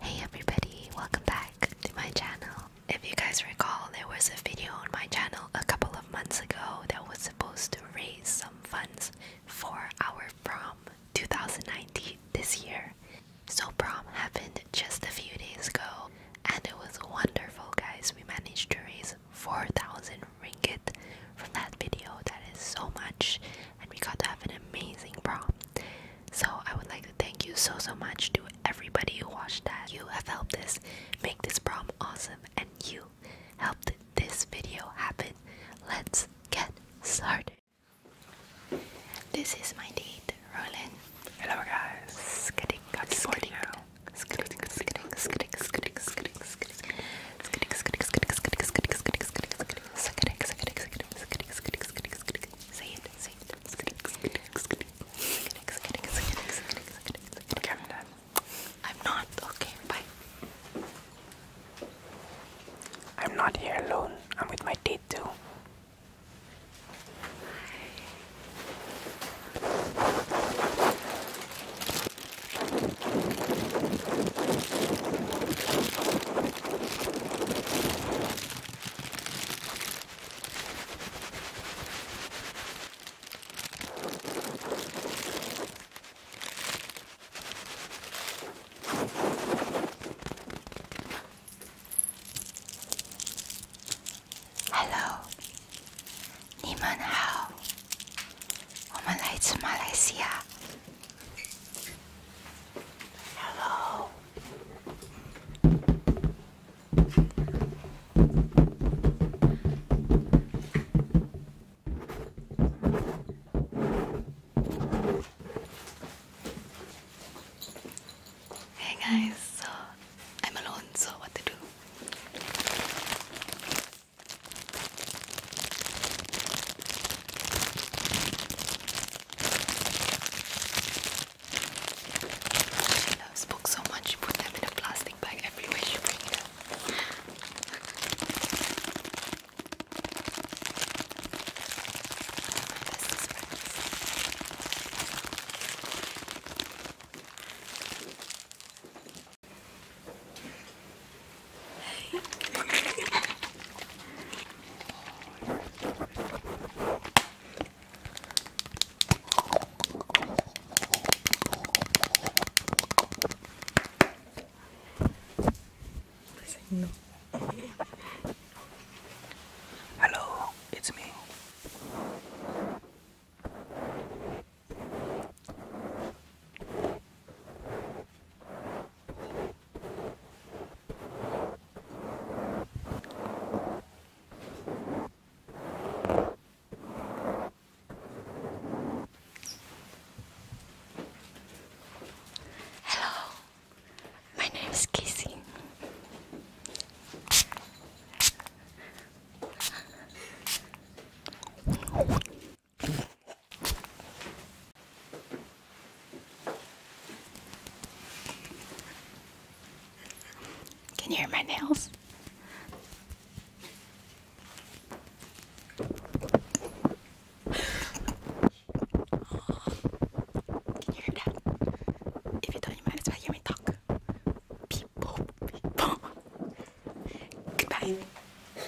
Hey everybody, welcome back to my channel. If you guys recall, there was a video on my channel a couple of months ago that was supposed to raise some funds for our prom 2019 this year. So prom happened just a few days ago and it was wonderful guys. We managed to raise 4,000 ringgit from that video. That is so much and we got to have an amazing prom. So I would like to thank you so so much to everybody who watched that. You have helped us make this prom awesome and you helped this video happen. Let's get started. This is my date, Roland. Hello guys. Say it, say it. Okay, I'm done. I'm not. Okay, bye. I'm not here alone. I'm with my date too. Hi. Hello，你们好，我们来自马来西亚。Hello. Hey guys, so I'm alone, so what to do? She loves books so much, she puts them in a plastic bag everywhere she brings them. No. Hello, it's me. Hello, my name is Kissing. Can you hear my nails? Can you hear that? If you don't, you might as well hear me talk. Goodbye.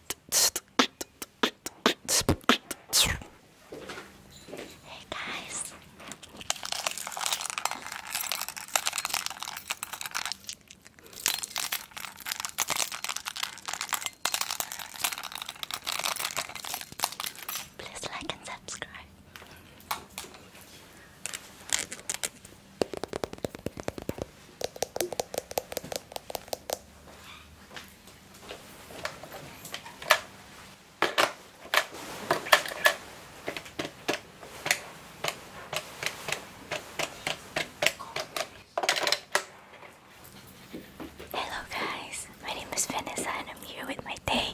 Hey guys, please like and subscribe. Hello guys, my name is Vanessa and I'm here with my day.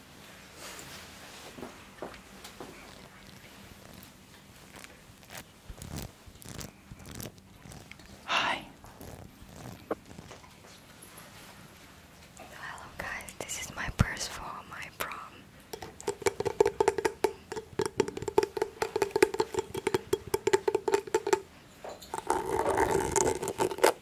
Hi. Hello guys, this is my purse for my prom.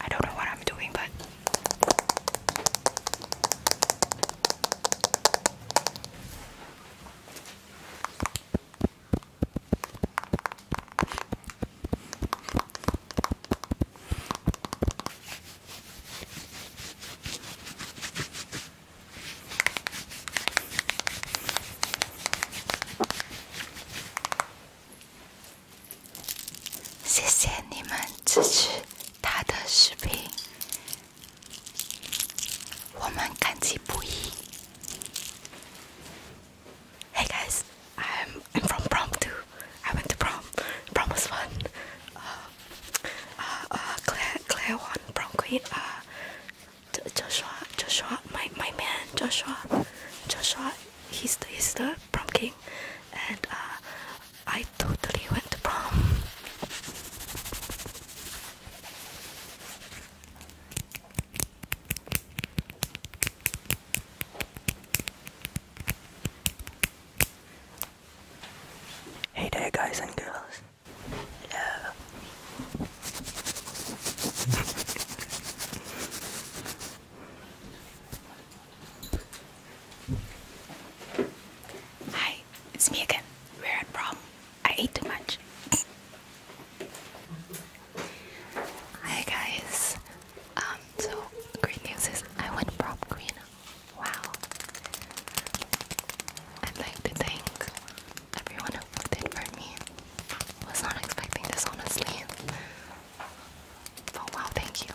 I don't know what I'm doing, but 谢谢你们支持他的视频，我们感激不已。Hey guys, I'm I'm from prom too. I went to prom. Prom was fun. Uh, uh, uh, Claire, Claire won prom queen. Uh, Joshua, Joshua, my my man, Joshua, Joshua. He's the he's the prom king, and uh, I totally went to prom. Hey there, guys and girls. Hi, it's me again. We're at prom. I ate too much. Hi guys. Um, so great news is I went prom queen. Wow. I'd like to thank everyone who voted for me. Was not expecting this honestly. But wow, thank you.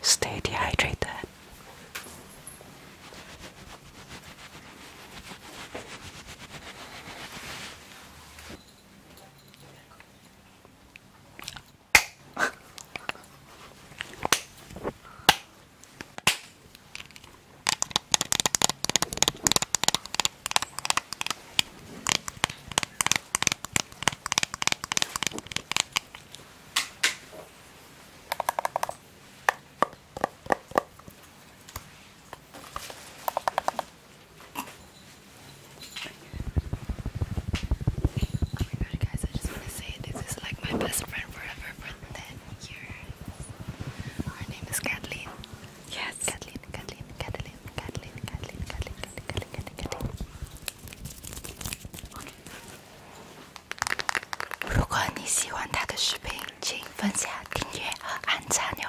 Stay dehydrated. Oh my guys, I just want to say this is like my best friend forever for 10 years. Her name is Kathleen. Yes. Kathleen, Kathleen, Kathleen, 如果你喜欢他的视频，请分享、订阅和按赞哟。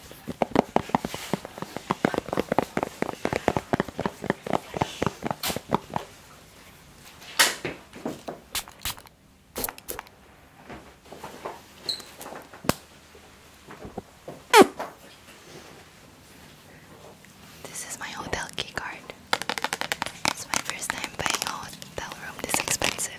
This is my hotel key card. It's my first time buying a hotel room this expensive.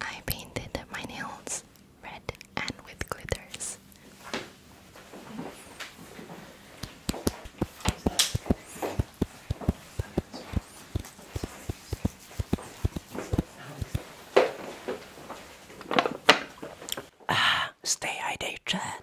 I painted my nails red and with glitters. Ah, stay hydrated.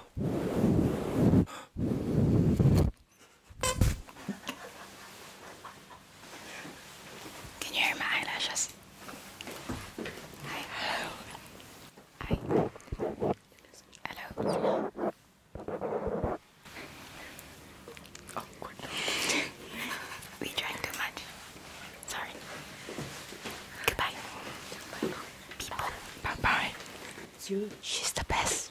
Can you hear my eyelashes? Hi. Hello. Hi. Hello. Oh, we drank too much. Sorry. Goodbye. Bye bye. She's the best.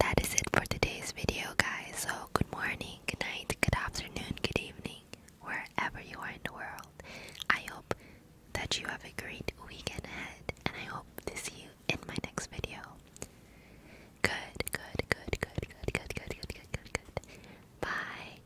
That is it for today's video, guys. So, good morning, good night, good afternoon, good evening, wherever you are in the world. I hope that you have a great weekend ahead, and I hope to see you in my next video. good, good, good, good, good, good, good, good, good, good. Bye.